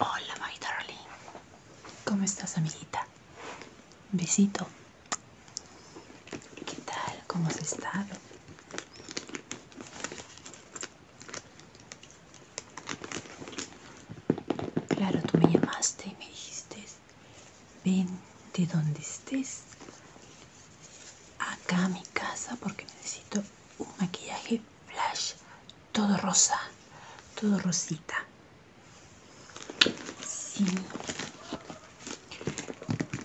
Hola, my darling. ¿Cómo estás, amiguita? Besito. ¿Qué tal? ¿Cómo has estado? Claro, tú me llamaste y me dijiste, ven de donde estés acá a mi casa porque necesito un maquillaje flash, todo rosa, todo rosita. Sí.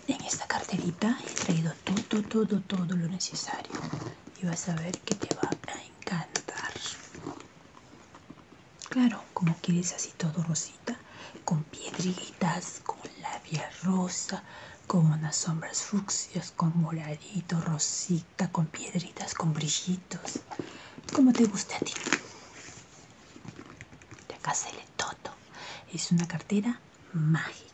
En esta carterita he traído todo, todo, todo lo necesario y vas a ver que te va a encantar. Claro, como quieres así todo rosita, con piedritas, con labia rosa, con unas sombras fucsias, con moradito, rosita, con piedritas, con brillitos. Como te gusta a ti. De acá sale todo. Es una cartera mágica.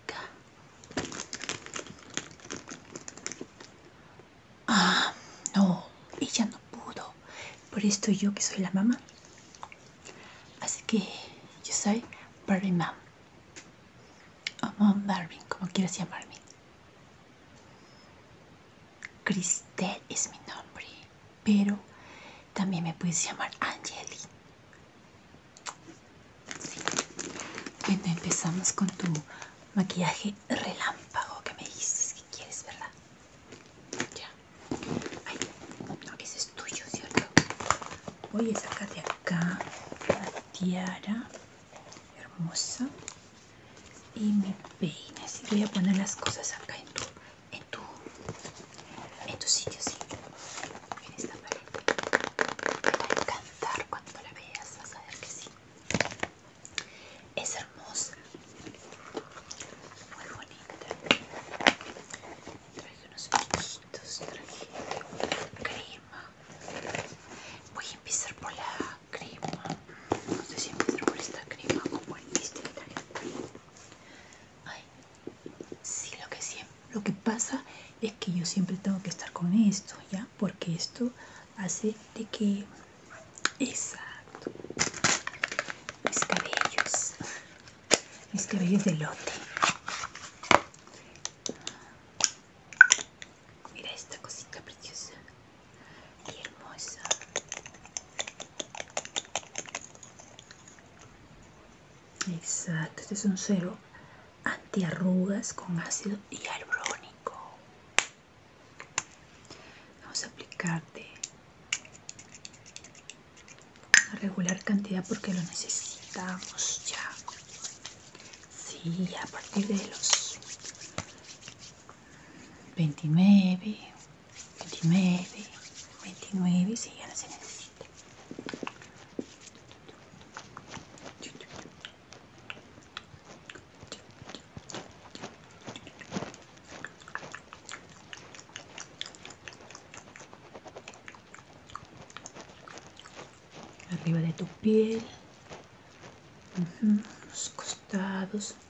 Ah, no, ella no pudo. Por esto yo que soy la mamá. Así que yo soy Barbie Mom. O Mom Barbie, como quieras llamarme. Cristel es mi nombre, pero también me puedes llamar Angeli. Bueno, empezamos con tu maquillaje relámpago que me hiciste quieres, ¿verdad? Ya. Ay, ese es tuyo, ¿cierto? Voy a sacar de acá la tiara hermosa y me peine. y voy a poner las cosas acá en tu, en tu, en tu sitio, sí. En esta pared. Te va a encantar cuando la veas, vas a ver que sí es hermosa muy bonita traje unos piquitos traje crema voy a empezar por la crema no sé si empezar por esta crema como por este que Ay, sí lo que siempre lo que pasa es que yo siempre tengo que estar con esto ya porque esto hace de que Exacto. Mis cabellos. Mis cabellos de lote. Mira esta cosita preciosa y hermosa. Exacto, este es un cero antiarrugas con ácido hialurónico. Vamos a aplicarte una regular cantidad porque lo necesitamos ya. Sí, a partir de los 29, 29, 29, sí, ya no se necesita arriba de tu piel los costados un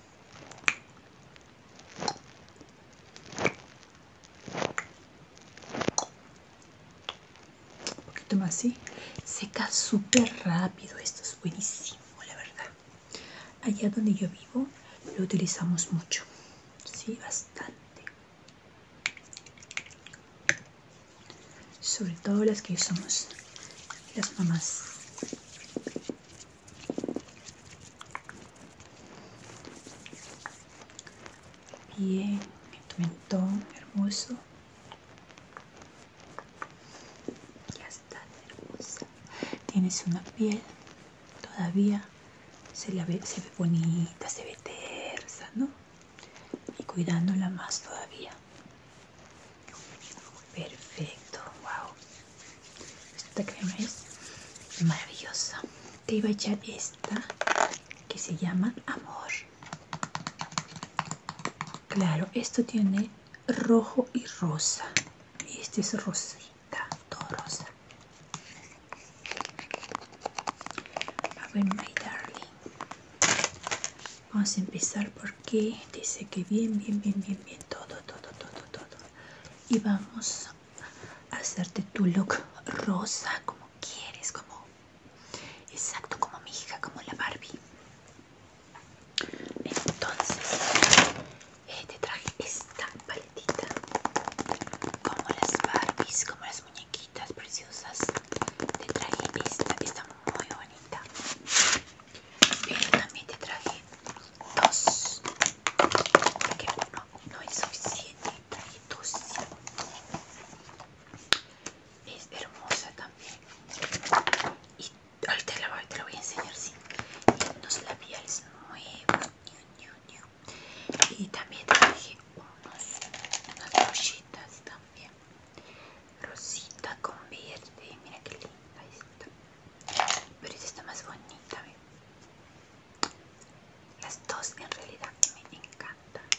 poquito más así seca súper rápido esto es buenísimo la verdad Allá donde yo vivo lo utilizamos mucho, sí, bastante. Sobre todo las que somos las mamás. Bien, mentón hermoso hermosa. Tienes una piel todavía se ve, se ve bonita, se ve tersa, ¿no? Y cuidándola más todavía. Perfecto, wow. Esta crema es maravillosa. Te iba a echar esta que se llama Amor. Claro, esto tiene rojo y rosa y este es rosita todo rosa a ver my darling vamos a empezar porque dice que bien bien bien bien bien todo todo todo todo y vamos a hacerte tu look rosa como quieres como exacto como mi hija como la barbie entonces eh, te traje esta paletita como las Barbies, como las muñequitas preciosas. Te traje esta, está muy bonita. Pero también te traje dos, porque uno no es suficiente. Traje dos. Es hermosa también ahorita te lo, voy a enseñar, sí. Unos labiales nuevos. Y también traje unos, unas brochitas también. Rosita con verde. Mira qué linda esta. Pero esta está más bonita, Las dos en realidad me encantan.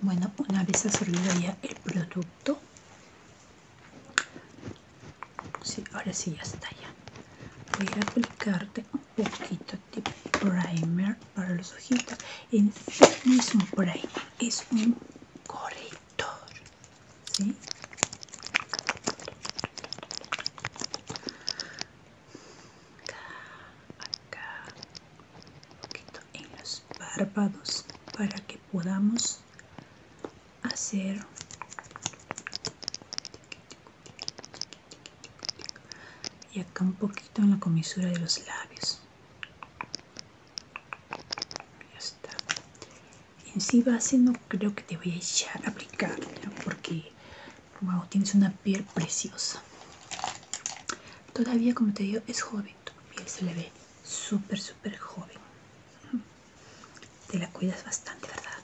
Bueno, una vez absorbido ya el producto sí, ahora sí ya está ya voy a aplicarte un poquito de primer para los ojitos en fin, no es primer es un corrector ¿sí? acá un poquito en los párpados para que podamos hacer y acá un poquito en la comisura de los labios ya en sí base no creo que te voy a echar a aplicar porque tienes una piel preciosa todavía como te digo es joven tu piel se le ve súper, súper joven. Te la cuidas bastante, ¿verdad?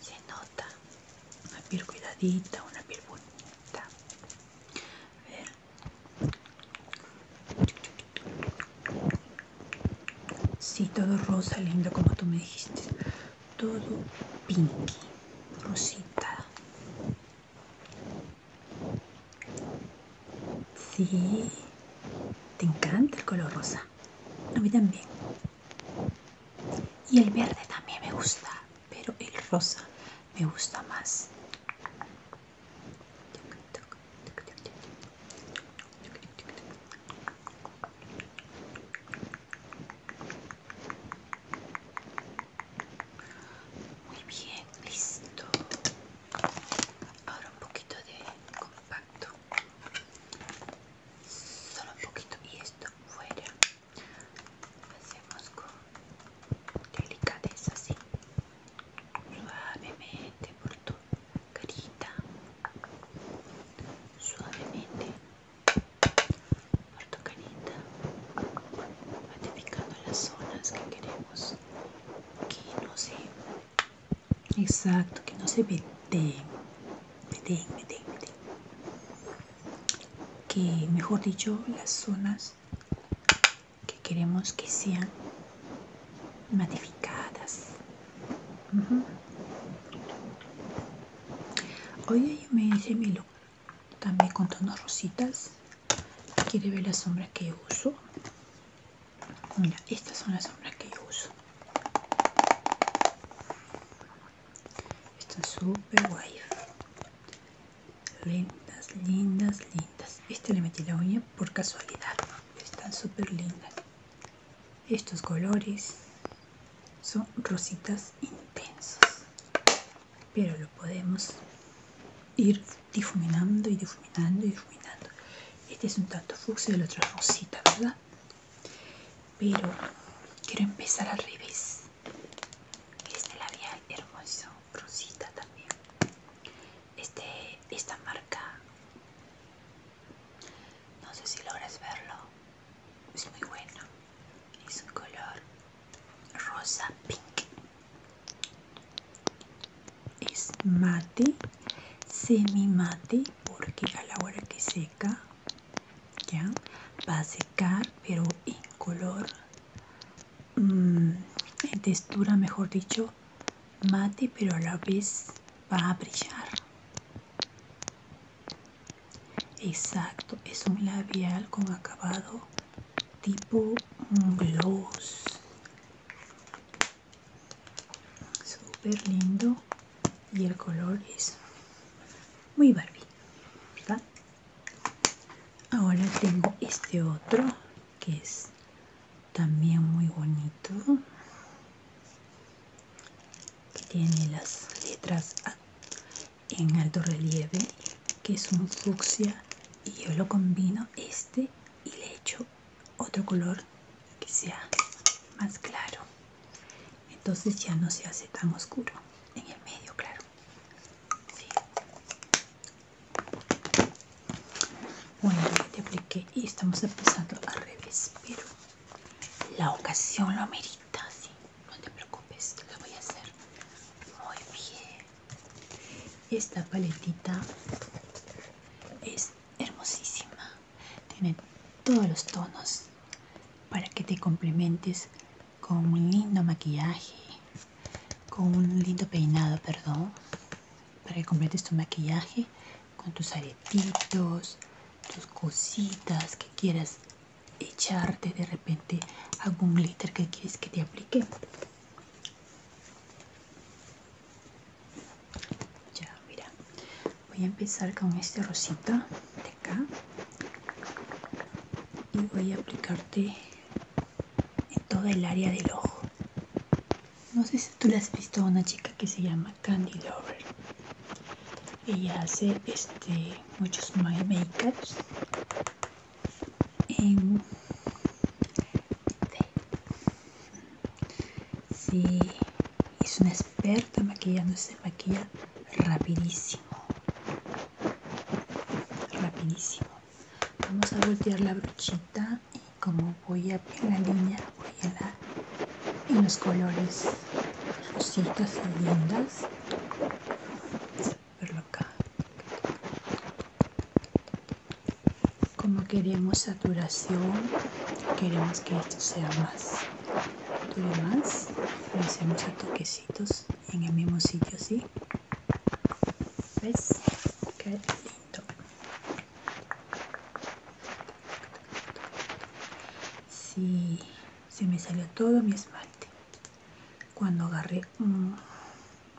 Se nota. Una piel cuidadita, una piel bonita. A ver. Sí, todo rosa, linda, como tú me dijiste. Todo pinky, rosita. Sí, te encanta el color rosa. A mí también. Y el verde también me gusta, pero el rosa me gusta más. Muy bien, listo. Ahora un poquito de compacto. Solo un poquito y esto fuera. Hacemos con delicadeza así. Suavemente por tu carita. Suavemente por tu carita. Identificando las zonas que queremos que no se... Exacto, que no se ve meten, meten, Que mejor dicho, las zonas que queremos que sean matificadas. Hoy yo me hice mi look también con tonos rositas quiere ver las sombras que uso mira estas son las sombras que yo uso están súper guay lindas lindas lindas este le metí la uña por casualidad están súper lindas estos colores son rositas intensas pero lo podemos ir difuminando y difuminando y difuminando. Este es un tanto fucsia y el otro rosita, ¿verdad? Pero quiero empezar al revés. Este labial hermoso, rosita también. Este, esta marca, no sé si logras verlo, es muy bueno. Es un color rosa pink es mate semi mate porque a la hora que seca ya va a secar pero en color mm, en textura mejor dicho mate pero a la vez va a brillar exacto es un labial con acabado tipo gloss súper lindo y el color es muy Barbie ahora tengo este otro que es también muy bonito que tiene las letras en alto relieve que es un fucsia y yo lo combino este y le echo otro color que sea más claro entonces ya no se hace tan oscuro en el medio claro bueno ya te apliqué y estamos empezando al revés pero la ocasión lo amerita no te preocupes lo voy a hacer muy bien esta paletita es hermosísima. Tiene todos los tonos para que te complementes con un lindo maquillaje, con un lindo peinado, perdón, para que completes tu maquillaje con tus aretitos, tus cositas que quieras echarte de repente algún glitter que quieres que te aplique ya, mira, voy a empezar con este rosita de acá y voy a aplicarte en todo el área del ojo. No sé si tú la has visto a una chica que se llama Candy Lover. Ella hace este muchos make en sí. es una experta maquillando, se maquilla rapidísimo. Rapidísimo. Vamos a voltear la brochita y como voy a en la línea, voy a dar en los colores rositas y lindas. Verlo acá. Como queremos saturación, queremos que esto sea más, dure más, hacemos toquecitos en el mismo sitio así. ¿Ves? Qué lindo. Sí, se me salió todo mi esmalte cuando agarré un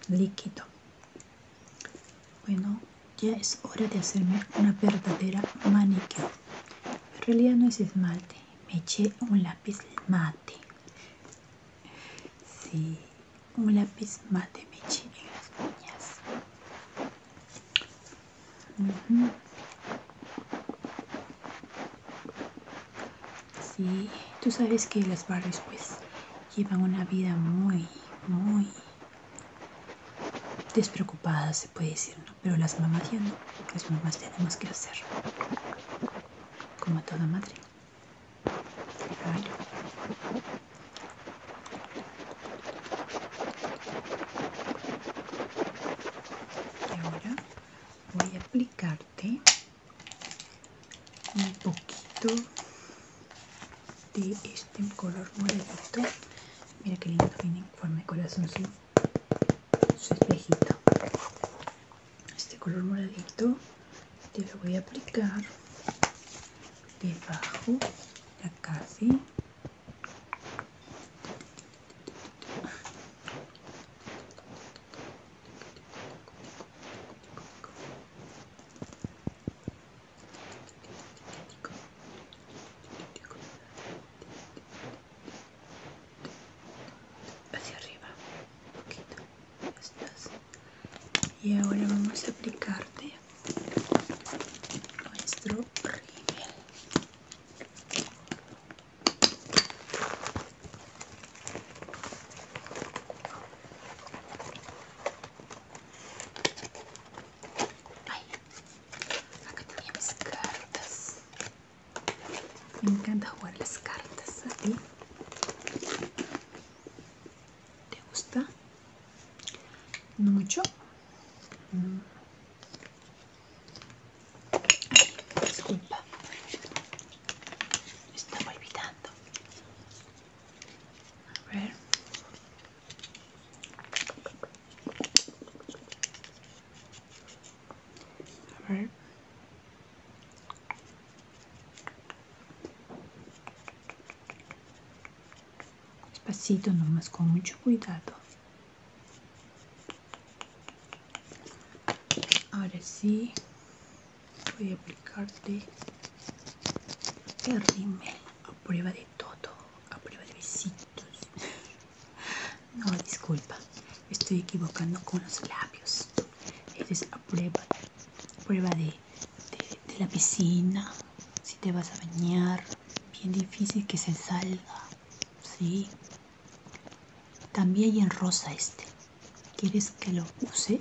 líquido bueno, ya es hora de hacerme una verdadera maniquí En realidad no es esmalte, me eché un lápiz mate. Sí, un lápiz mate me eché en las uñas. Sí, tú sabes que las barras pues llevan una vida muy, muy despreocupada se puede decir, Pero las mamás ya no, las mamás tenemos que hacer, como toda madre. Y ahora voy a aplicarte un poquito de este color moradito mira qué lindo viene en forma de corazón su, espejito este color moradito te lo voy a aplicar debajo ya casi hacia arriba un estás. y ahora vamos a aplicarte nuestro rímel Ay, acá tenía mis cartas. Me encanta jugar las cartas. ¿A ti? ¿Te gusta? ¿No mucho? Mm. disculpa. Me estaba olvidando. A ver. A ver. nomás, con mucho cuidado. Ahora sí voy a aplicarte el rímel a prueba de todo, a prueba de besitos. No, disculpa, estoy equivocando con los labios. es a prueba, prueba de, la piscina, si te vas a bañar, bien difícil que se salga, ¿sí? También hay en rosa este, ¿Quieres que lo use?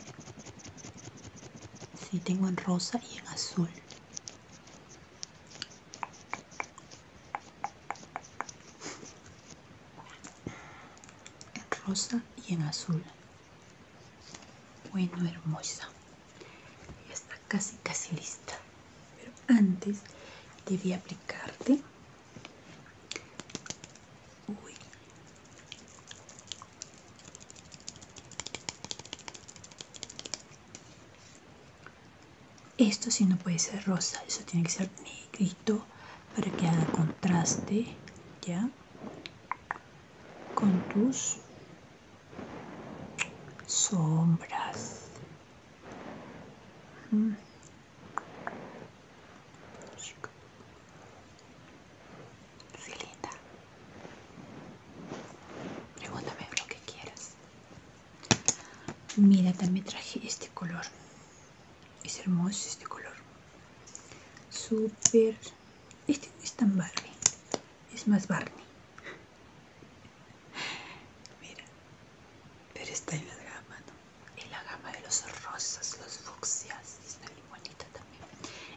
Sí, tengo en rosa y en azul. En rosa y en azul. Bueno, hermosa. Ya está casi, casi lista. Pero antes debí aplicarte. Uy, esto sí no puede ser rosa, eso tiene que ser negrito para que haga contraste, ¿ya? Con tus sombras. Sí, linda. Pregúntame lo que quieras. Mira, también traje este color. Es hermoso este color. Súper. Este no es tan Barbie. Es más Barney. Mira. Pero está en la gama, ¿no? En la gama de los rosas, los fucsias también.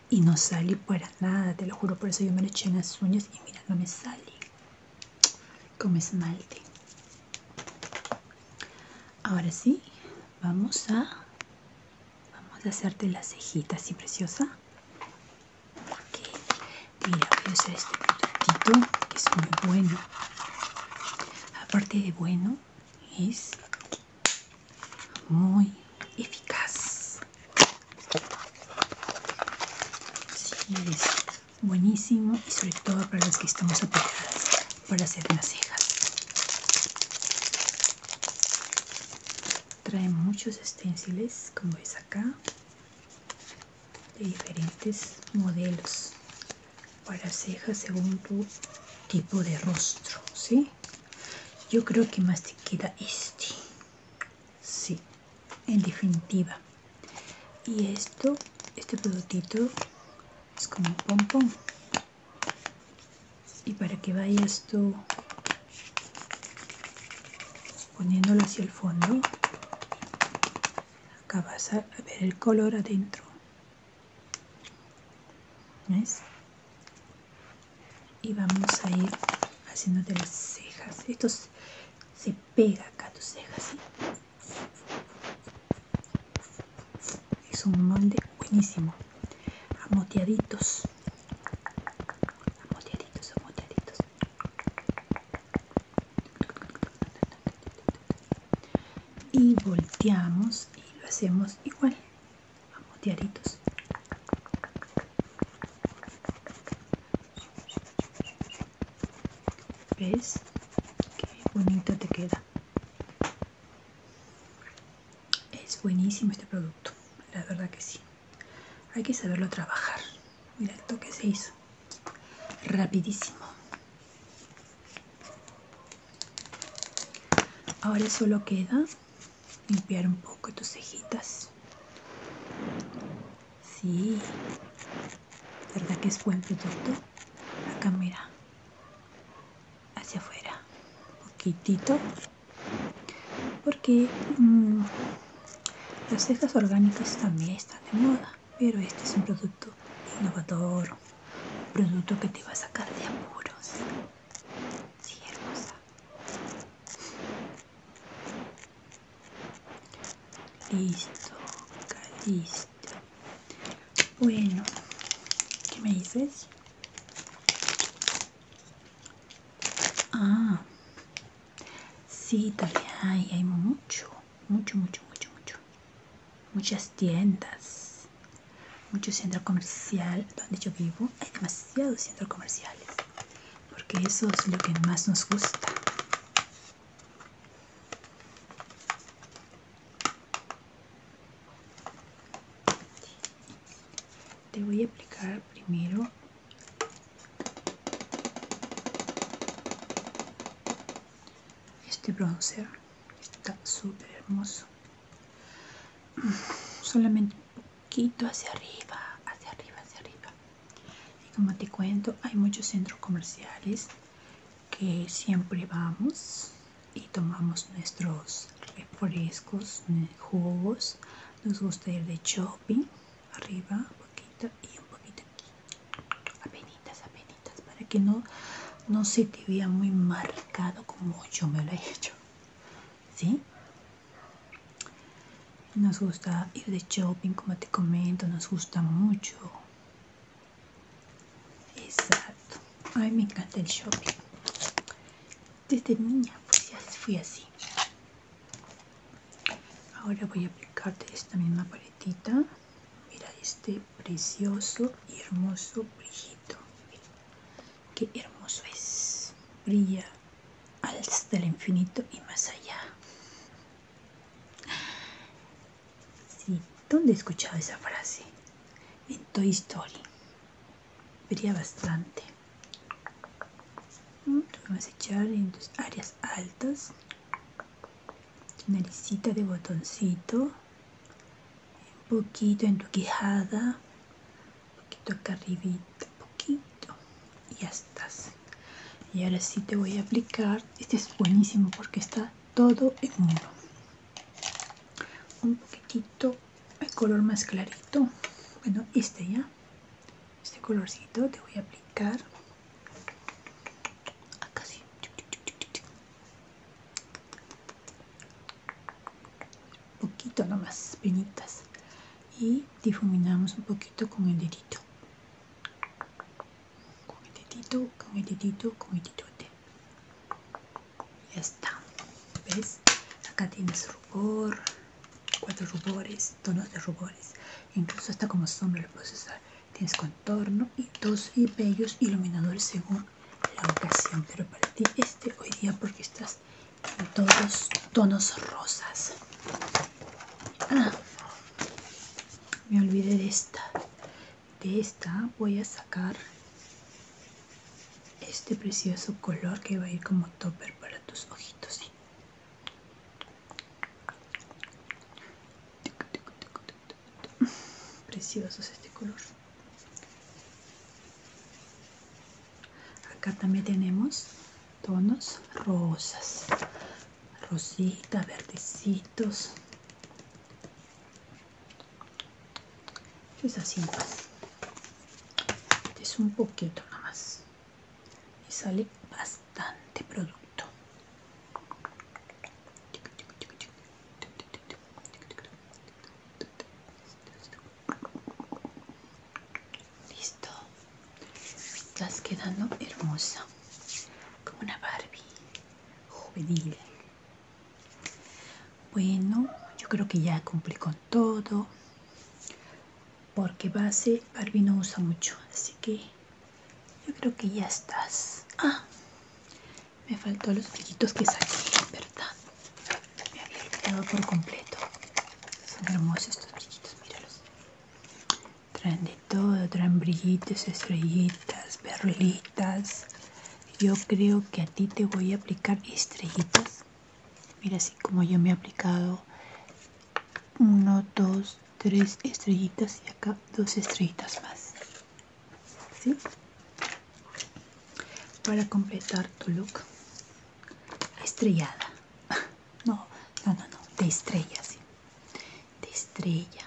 Y no sale para nada, te lo juro. Por eso yo me lo eché en las uñas y mira, no me sale como esmalte. Ahora sí, vamos a, vamos a hacerte las cejitas, ¿sí, preciosa? mira, voy este productito que es muy bueno. Aparte de bueno, es muy eficaz. buenísimo y sobre todo para las que estamos apegadas para hacer las cejas. Trae muchos esténciles, como ves acá, de diferentes modelos para cejas según tu tipo de rostro, yo creo que más te queda este sí en definitiva y esto este productito es como un pompón y para que vayas tú poniéndolo hacia el fondo acá vas a ver el color adentro ¿ves? y vamos a ir haciéndote las cejas esto se, pega acá tus cejas es un molde buenísimo amoteaditos amoteaditos amoteaditos y volteamos y lo hacemos igual Vamos, diaritos. ¿Ves? Qué bonito te queda. Es buenísimo este producto, la verdad que sí. Hay que saberlo trabajar. Mira esto que se hizo. Rapidísimo. Ahora solo queda limpiar un poco tus cejitas. Sí, ¿verdad que es buen producto? Acá mira, hacia afuera, poquitito, porque mm, las cejas orgánicas también están de moda, pero este es un producto innovador, un producto que te va a sacar de apuros. si hermosa. Listo, listo. Bueno, ¿qué me dices? Ah, sí, también hay, hay mucho, mucho, mucho, mucho, mucho. Muchas tiendas, mucho centro comercial donde yo vivo. Hay demasiados centros comerciales, porque eso es lo que más nos gusta. Te voy a aplicar primero este bronzer, está súper hermoso. Mm, solamente poquito hacia arriba, hacia arriba, hacia arriba. Y como te cuento, hay muchos centros comerciales que siempre vamos y tomamos nuestros refrescos, jugos. Nos gusta ir de shopping, arriba, un poquito y un poquito aquí. Apenitas, apenitas, para que no, no se te vea muy marcado como yo me lo he hecho. ¿Sí? Nos gusta ir de shopping, como te comento, nos gusta mucho. Exacto. Ay, me encanta el shopping. Desde niña pues ya fui así. Ahora voy a aplicarte esta misma paletita. Mira este precioso y hermoso brillito. que qué hermoso es. Brilla hasta del infinito y más allá. Sí, ¿dónde he escuchado esa frase? En Toy Story. Vería bastante. Mm, Vamos a echar en tus áreas altas. naricita de botoncito. Un poquito en tu quijada poquito acá arribita poquito y ya estás y ahora sí te voy a aplicar este es buenísimo porque está todo en uno un poquitito el color más clarito bueno este ya este colorcito te voy a aplicar acá sí poquito nomás, pinitas, y difuminamos un poquito con el dedito con el dedito, con el dedito, con el dedito ya está ¿ves? acá tienes rubor cuatro rubores, tonos de rubores incluso hasta como sombra puedes usar tienes contorno y dos y bellos iluminadores según la ocasión pero para ti este hoy día porque estás todos los tonos rosas ah, me olvidé de esta de esta voy a sacar este precioso color que va a ir como topper para tus ojitos precioso es este color acá también tenemos tonos rosas rosita verdecitos es así es un poquito más. y sale bastante producto Listo. Estás quedando hermosa. Como una Barbie juvenil. Bueno, yo creo que ya cumplí con todo. Porque base Barbie no usa mucho. Así que yo creo que ya estás. Ah, me faltó los brillitos que saqué, ¿verdad? me había olvidado por completo. Son hermosos estos brillitos, míralos. Traen de todo, traen brillitos, estrellitas, perlitas. Yo creo que a ti te voy a aplicar estrellitas. Mira, así como yo me he aplicado uno, dos, tres estrellitas y acá dos estrellitas más. ¿Sí? Para completar tu look estrellada. No, no, no, no, de estrella, De estrella.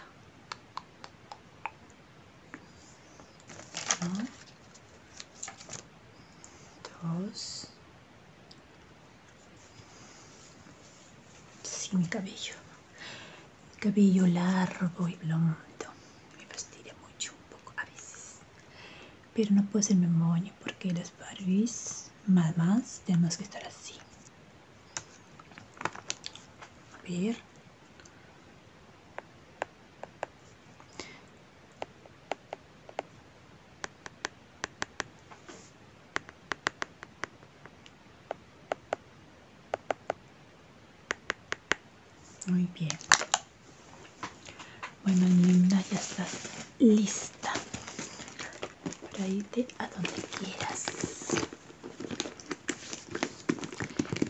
Uno, dos. Sí, mi cabello. cabello largo y blondo. Me fastidia mucho un poco a veces pero no puede ser memoria porque las barbis, más más tenemos que estar así a muy bien bueno, linda, ya estás lista para irte a donde quieras.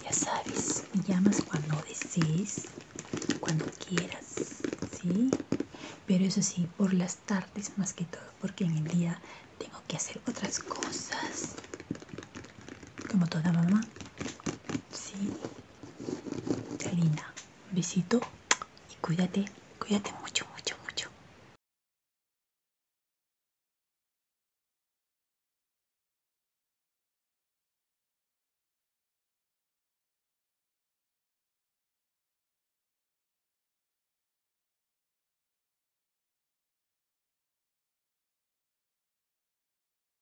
Ya sabes, me llamas cuando desees, cuando quieras, ¿sí? Pero eso sí, por las tardes más que todo, porque en el día tengo que hacer otras cosas. Como toda mamá. Sí. Qué linda. Besito y cuídate, cuídate mucho, mucho, mucho.